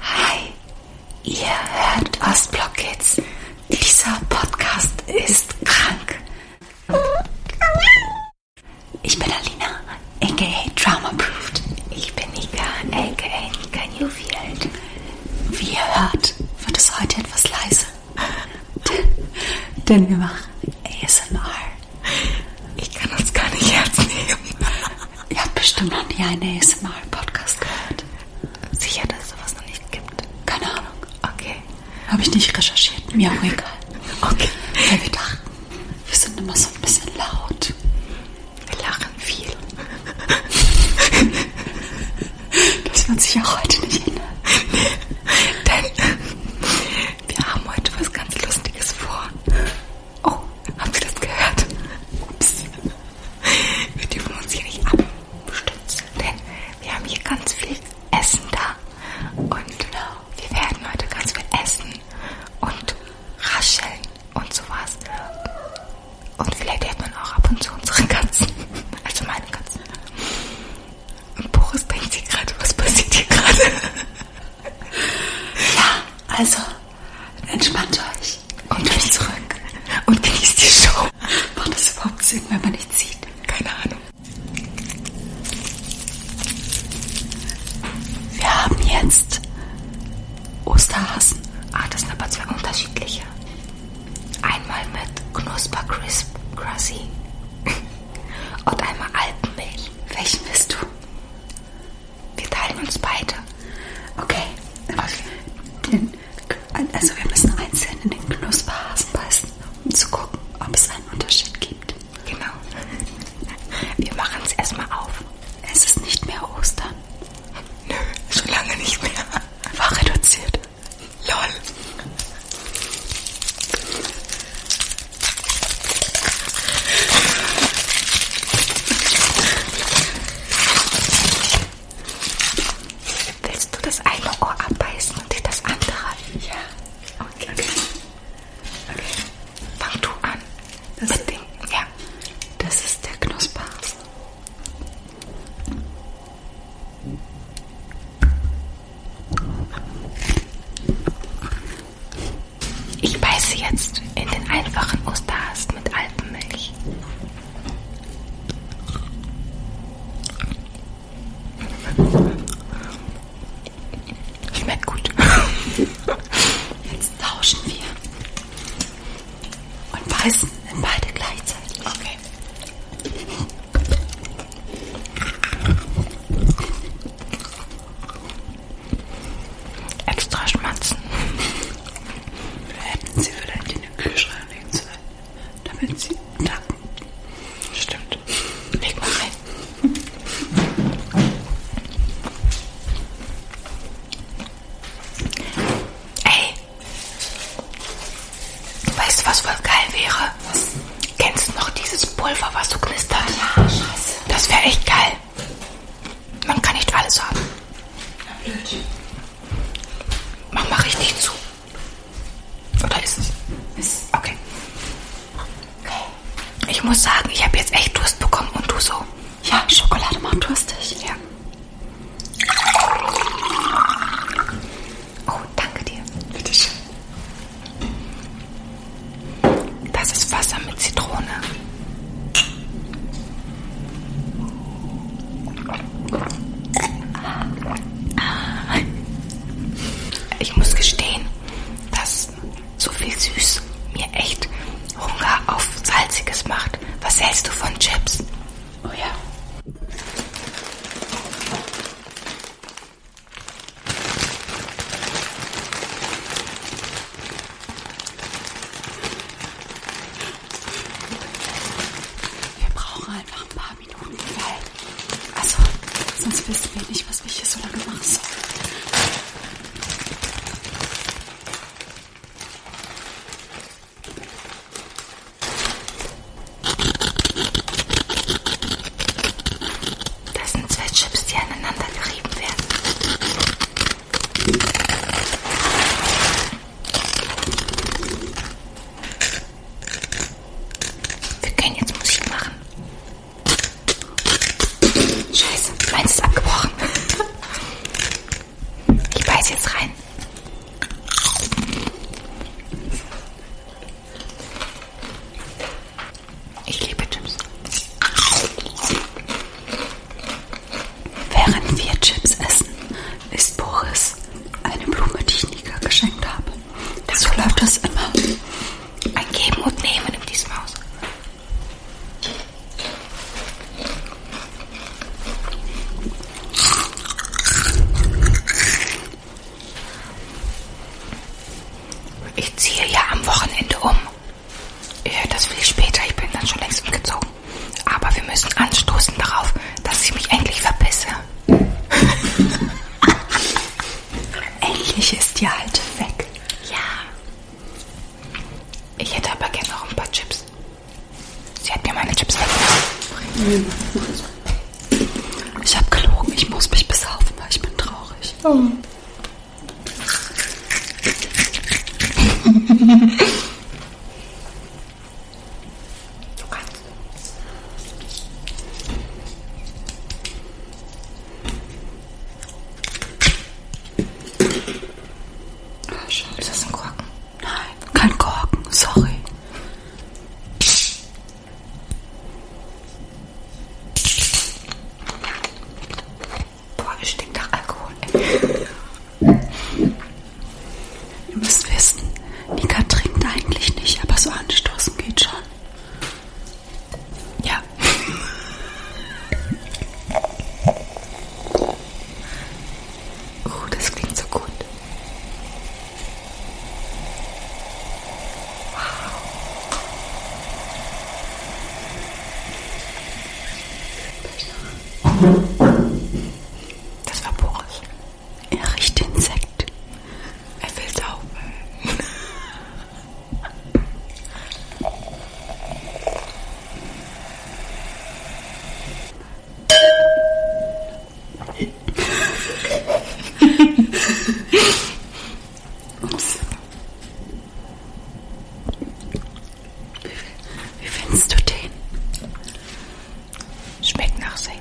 Hi, ihr hört Ostblock Kids. Dieser Podcast ist krank. Ich bin Alina, aka Trauma Proofed. Ich bin Nika, aka Nika Newfield. Wie ihr hört, wird es heute etwas leise. denn wir machen ASMR. Ich kann das gar nicht ernst nehmen. Ihr habt bestimmt noch nie einen ASMR-Podcast gehört. Sicher, dass es sowas noch nicht gibt. Keine Ahnung. Okay. Habe ich nicht recherchiert. Mir auch egal. Okay. Weil wir dachten, wir sind immer so ein bisschen laut. Wir lachen viel. Das wird sich auch heute nicht ändern. Denn wir haben heute was ganz Lustiges vor. Oh, haben Sie das gehört? Ups. Wir dürfen uns hier nicht abstützen, denn wir haben hier ganz viel Essen da. Und äh, wir werden heute ganz viel essen und rascheln und sowas. Und vielleicht hört man auch ab und zu unsere Katzen. Also meine Katzen. Und Boris denkt sich gerade, was passiert hier gerade? Ja, also entspannt euch, kommt euch zurück und genießt die Show. Macht das überhaupt Sinn, wenn man nicht sieht? Keine Ahnung. Wir haben jetzt Osterhasen. Ah, das sind aber zwei unterschiedliche. Einmal mit Knusper Crisp Grassy und einmal Alpenmilch. Welchen bist du? Wir teilen uns beide. Okay. okay. Den, also wir müssen einzeln in den Knusperhasen beißen, um zu gucken, ob es einen Unterschied gibt. Genau. Wir machen es erstmal auf. Es ist nicht mehr Ostern. Nö, schon lange nicht mehr. War reduziert. LOL. Willst du das eine Ohr abbeißen und dir das andere? Ja. Okay. Okay. okay. Fang du an. Das mit dem, ja. Das ist der Knusper. Ich beiße jetzt in den einfachen Osterhast mit Alpenmilch. Schmeckt gut. Jetzt tauschen wir und beißen in beide gleichzeitig. Okay. Extra schmatzen. Hätten Sie vielleicht in den Kühlschrank legen sollen, damit Sie tanken. Stimmt. Leg mal rein. Ey. Weißt du, was voll geil wäre? Kennst du noch dieses Pulver, was so knistert? Ja, scheiße. Das wäre echt geil. Man kann nicht alles haben. Na blöd. Mach mal richtig zu. Oder ist es? Ist. Okay. Okay. Ich muss sagen, ich habe jetzt echt Durst bekommen und du so. Ja, Schokolade macht durstig. Ja. Oh, danke dir. Bitteschön. Das ist Wasser mit Zitrone. Ich muss gestehen, dass so viel Süß mir echt Hunger auf Salziges macht. Was hältst du von Chips? Oh ja. Wir brauchen einfach ein paar Minuten, weil. Also, sonst wissen wir nicht, was ich hier so lange machen soll. Das sind zwei Chips, die aneinander gerieben werden. Wir können jetzt Musik machen. Scheiße, meins ist abgebrochen. Ich beiß jetzt rein. Ich liebe Chips. Während wir Chips essen, ist Boris eine Blume, die ich Nika geschenkt habe. So läuft das immer. Ein Geben und Nehmen in diesem Haus. Ich ziehe ja am Wochenende um. Das will ich später, ich bin dann schon längst umgezogen. Aber wir müssen anstoßen darauf, dass ich mich endlich verpisse. endlich ist die alte weg. Ja. Ich hätte aber gerne noch ein paar Chips. Sie hat mir meine Chips weggenommen. Ich habe gelogen, ich muss mich besaufen, weil ich bin traurig. Oh. Ist das ein Korken? Nein, kein Korken, sorry. Boah, es stinkt nach Alkohol. Ey. Ihr müsst wissen, Nika trinkt eigentlich nicht, aber so anstoßen geht schon. Ja. Oh, uh, das klingt so gut. Das war Boris. Er riecht den Sekt. Er will saufen. Ups. Wie findest du den? Schmeckt nach Sekt.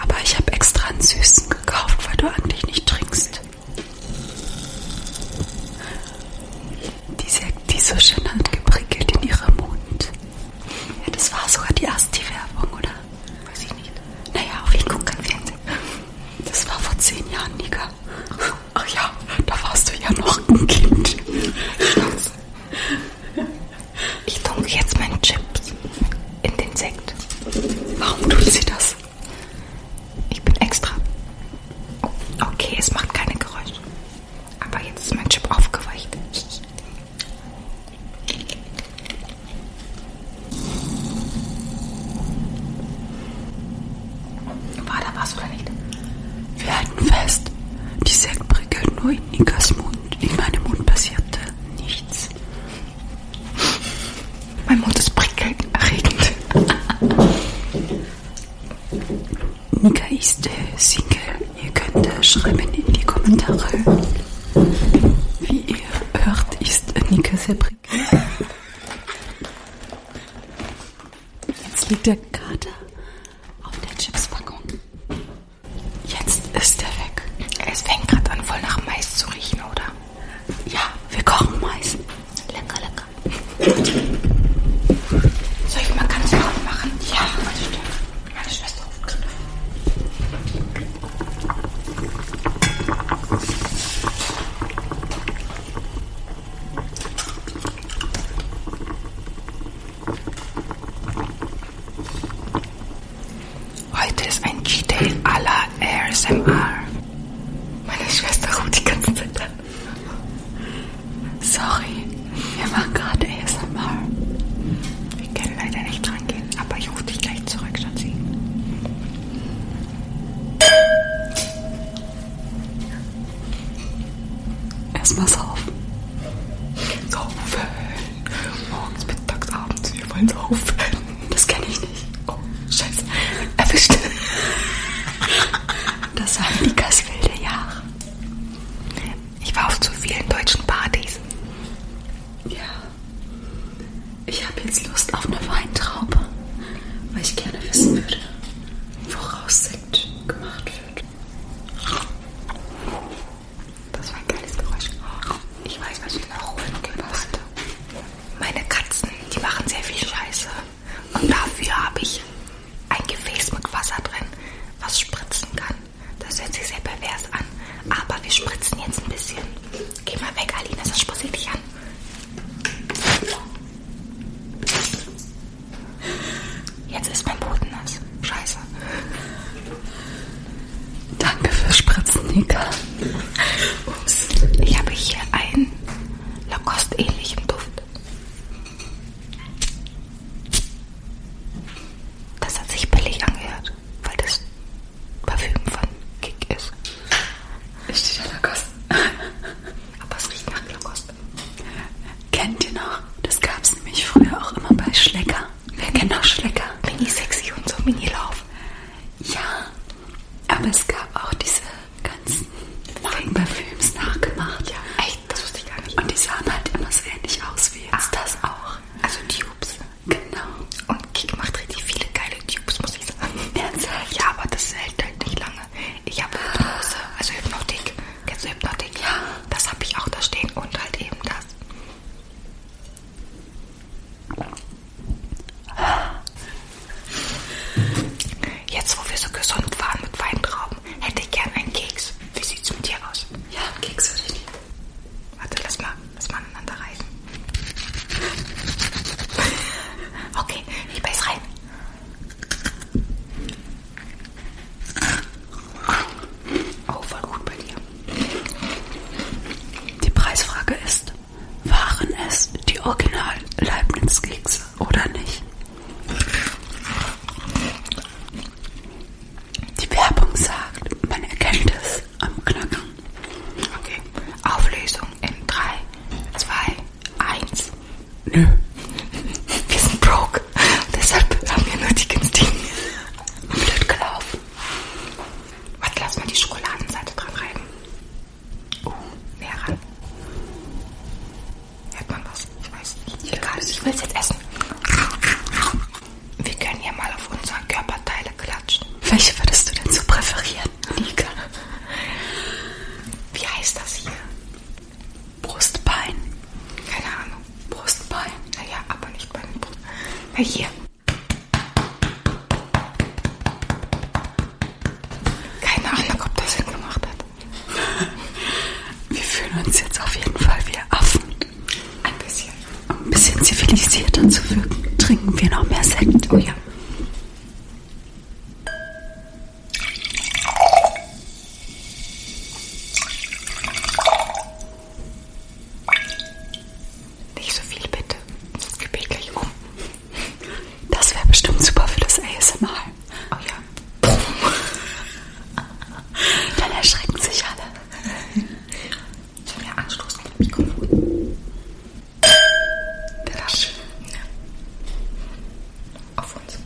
Aber ich habe extra einen süßen gekauft, weil du eigentlich nicht trinkst. Die Sekt, die so schön hat geprickelt in ihrem Mund. Ja, das war sogar die erste Werbung, oder? Weiß ich nicht. Naja, auf jeden Fall kein Fernsehen. Das war vor zehn Jahren, Nika. Ach ja, da warst du ja noch ein Kind. Schnauze. Ich tunke jetzt meinen Chips in den Sekt. Warum tut sie das? Ich bin extra. Okay, es macht keine Geräusche. Aber jetzt ist mein Chip aufgeweicht. War da was oder nicht? Wir halten fest, die Sektbricke nur in Nikas Mund. In meinem Mund passierte nichts. Mein Mund ist prickelnd-erregend. Nika ist äh, Single. Ihr könnt äh, schreiben in die Kommentare, wie ihr hört, ist Nike sehr prickelnd. Jetzt liegt der Kater auf der Chipspackung. Jetzt ist er weg. Es fängt gerade an, voll nach Mais zu riechen, oder? Ja, wir kochen Mais. Lecker, lecker. Soll ich mal ganz laut machen? Ja, das stimmt. Meine Schwester ruft gerade Heute ist ein G-Day à la ASMR. Meine Schwester ruft die ganze Zeit an. Sorry. Wir machen gerade ASMR. Wir können leider nicht rangehen, aber ich rufe dich gleich zurück, Schatzi. Erstmal saufen. Saufen. Morgens, mittags, abends. Wir wollen saufen. Das kenne ich nicht. Oh, scheiße. Erwischt. Das waren Nikas wilde Jahre. Ich war auf zu vielen deutschen Partys. Ja. Ich habe jetzt Lust auf eine Weintraube, weil ich gerne wissen würde, woraus Sekt gemacht wird. Das war ein geiles Geräusch. Ich weiß, was ich noch holen gepasst. Meine Katzen, die machen sehr viel Scheiße. Und dafür habe ich ein Gefäß mit Wasser drin, was spritzen kann. Das hört sich sehr pervers an. Aber wir spritzen jetzt ein bisschen. Geh mal weg, Alina, sonst spritze ich dich an. Jetzt ist mein Boden nass. Scheiße. Danke fürs Spritzen, Nika. Ups. Ich habe hier einen Lacoste-ähnlichen Duft. Das hat sich billig angehört, weil das Parfüm von Kick ist. Es steht an Lacoste. Aber es riecht nach Lacoste. Kennt ihr noch? Das gab es nämlich früher auch immer bei Schlecker. Wer kennt noch Schlecker? Mini sexy und so Mini Lauf. Ja, aber es gab auch diese ganzen Markenparfüms nachgemacht. Ja, echt? Das wusste ich gar nicht. Und die sahen halt immer so ähnlich aus wie jetzt das auch. Also Tubes. Genau. Und Kik macht richtig viele geile Tubes, muss ich sagen. Ernsthaft? Ja, aber das hält halt nicht lange. Ich habe Hypnose, also Hypnotik. Kennst du Hypnotik? Ja. Das habe ich auch da stehen und halt eben das. Jetzt, wo wir so gesund waren mit Weintrauben, hätte ich gern einen Keks. Wie sieht's mit dir aus? Ja, Kekse würde ich nehmen. Warte, lass mal, lass mal aneinander reißen. Okay, ich beiß rein. Oh, voll gut bei dir. Die Preisfrage ist, waren es die Original Leibniz-Kekse oder nicht? Die Werbung sagt, man erkennt es am Knacken. Okay. Auflösung in 3, 2, 1. Nö. Wir sind broke. Deshalb haben wir nur die günstigen. Blöd gelaufen. Was lass mal die Schokoladenseite dran reiben? Uh, näher ran. Hört man was? Ich weiß nicht. Egal, ich will es jetzt essen. Wir können ja mal auf unsere Körperteile klatschen. Welche würdest du denn so präferieren, Nika? Wie heißt das hier? Brustbein. Keine Ahnung. Brustbein. Naja, aber nicht bei den Brust. Na hier. Keine Ahnung, ob das Sinn gemacht hat. Wir fühlen uns jetzt auf jeden Fall wie Affen. Ein bisschen. Um ein bisschen zivilisierter zu wirken, trinken wir noch mehr Sekt. Oh ja. Nicht so viel bitte, sonst gebe ich gleich um. Das wäre bestimmt super für das ASMR. Oh ja. Dann erschrecken sich alle. Ich habe ja Anstoß mit dem Mikrofon. Der war schön. Ja. Auf uns.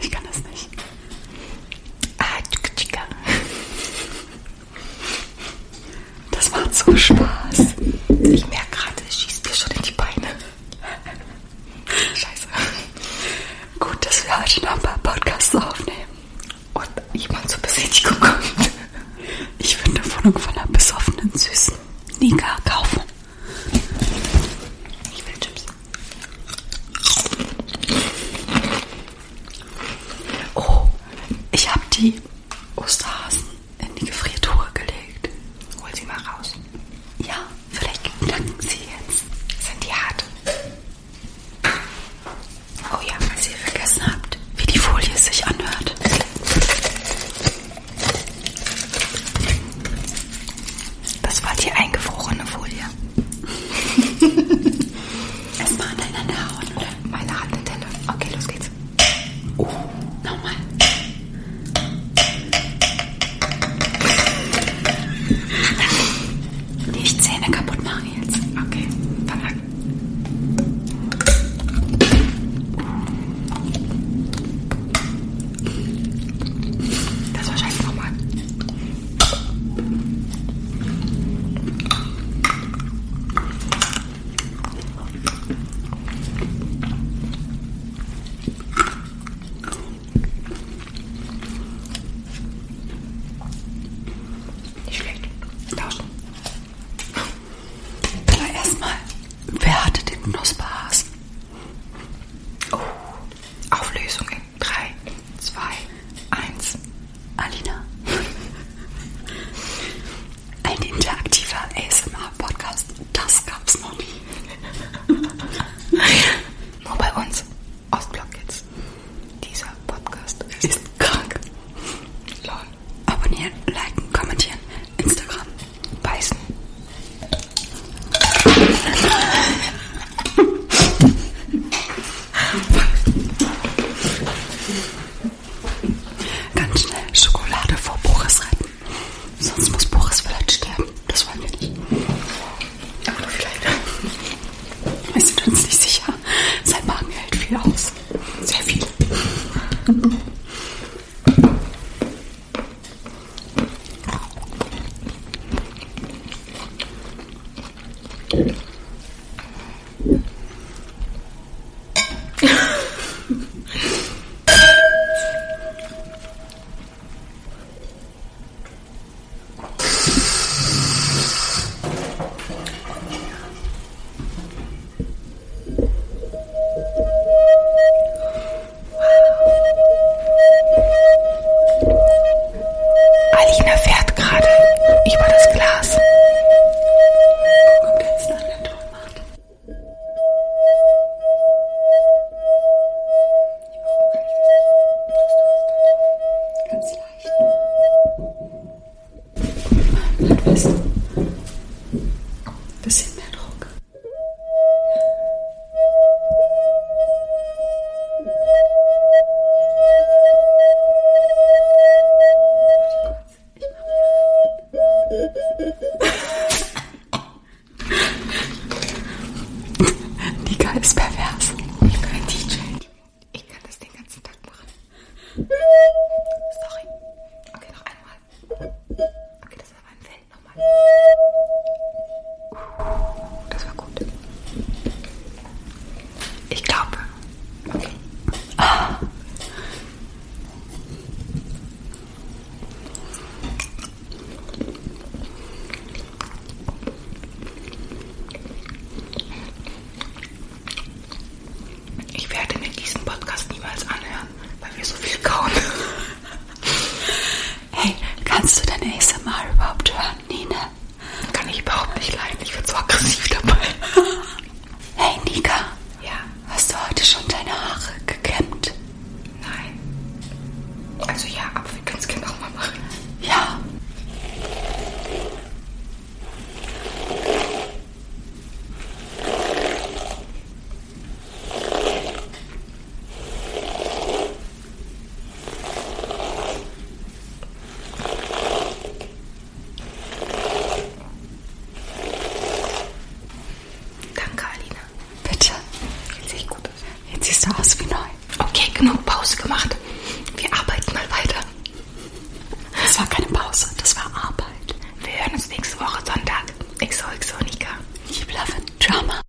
Ich kann das nicht. Ah, tschika. Das macht so Spaß. Ich merke gerade, es schießt mir schon in die Beine. Scheiße. Gut, dass wir heute noch ein paar Podcasts aufnehmen und jemand zur Besichtigung kommt. Ich würde eine Wohnung von einer besoffenen, süßen Nika kaufen. Ich will Chips. Oh, ich habe die Osterhasen in die Gefriertruhe gelegt. Hol sie mal raus. Ja, vielleicht knacken sie jetzt. Sind die hart? Oh ja, was ihr vergessen habt, wie die Folie sich anhört. Das war die eingefrorene Folie. Erstmal an deiner Haut, oder? Meine Hand in Teller. Okay, los geht's. Oh. Nochmal. Nicht Zähne kaputt machen jetzt. Okay, verlag. Das wahrscheinlich nochmal. Nicht schlecht. Tauschen. Aber erstmal, wer hatte den Knusperhasen? Oh, Auflösung in 3, 2, 1. Alina. Ein interaktiver ASMR-Podcast, das gab's noch nie. Nur bei uns, Ostblock Kids. Dieser Podcast ist, ist krank. Lol. Abonnieren, liken, kommentieren, Instagram, beißen. Ganz schnell Schokolade vor Boris retten. Sonst muss Boris vielleicht sterben. Das wollen wir nicht. Oder vielleicht. Wir sind uns nicht sicher. Sein Magen hält viel aus. Sehr viel. Alina fährt gerade über das Glas. Podcast. Kommt jetzt noch der Ton macht. Ganz leicht. Guck mal, was. Bisschen mehr Druck. Warte kurz. Nika ist pervers. Ich bin ein DJ. Ich kann das den ganzen Tag machen. Sorry. Okay, noch einmal. Okay, das war ein Feld. Nochmal. Uh, das war gut. Ich glaube. Ah. Ich werde mir diesen Podcast niemals anhören, weil wir so viel kauen. Hey, kannst du deine ASMR überhaupt hören, Nina? Kann ich überhaupt nicht leiden. Ich werde so aggressiv dabei. hey, Nika. Ja? Hast du heute schon deine Haare gekämmt? Nein. Also ja, aber wir können es gerne nochmal machen. Ja. Danke, Alina. Bitte. Jetzt sehe ich gut aus. Jetzt siehst du aus wie neu. Okay, genug Pause gemacht. Wir arbeiten mal weiter. Das war keine Pause, das war Arbeit. Wir hören uns nächste Woche Sonntag. XOXO Nika. Ich love Drama.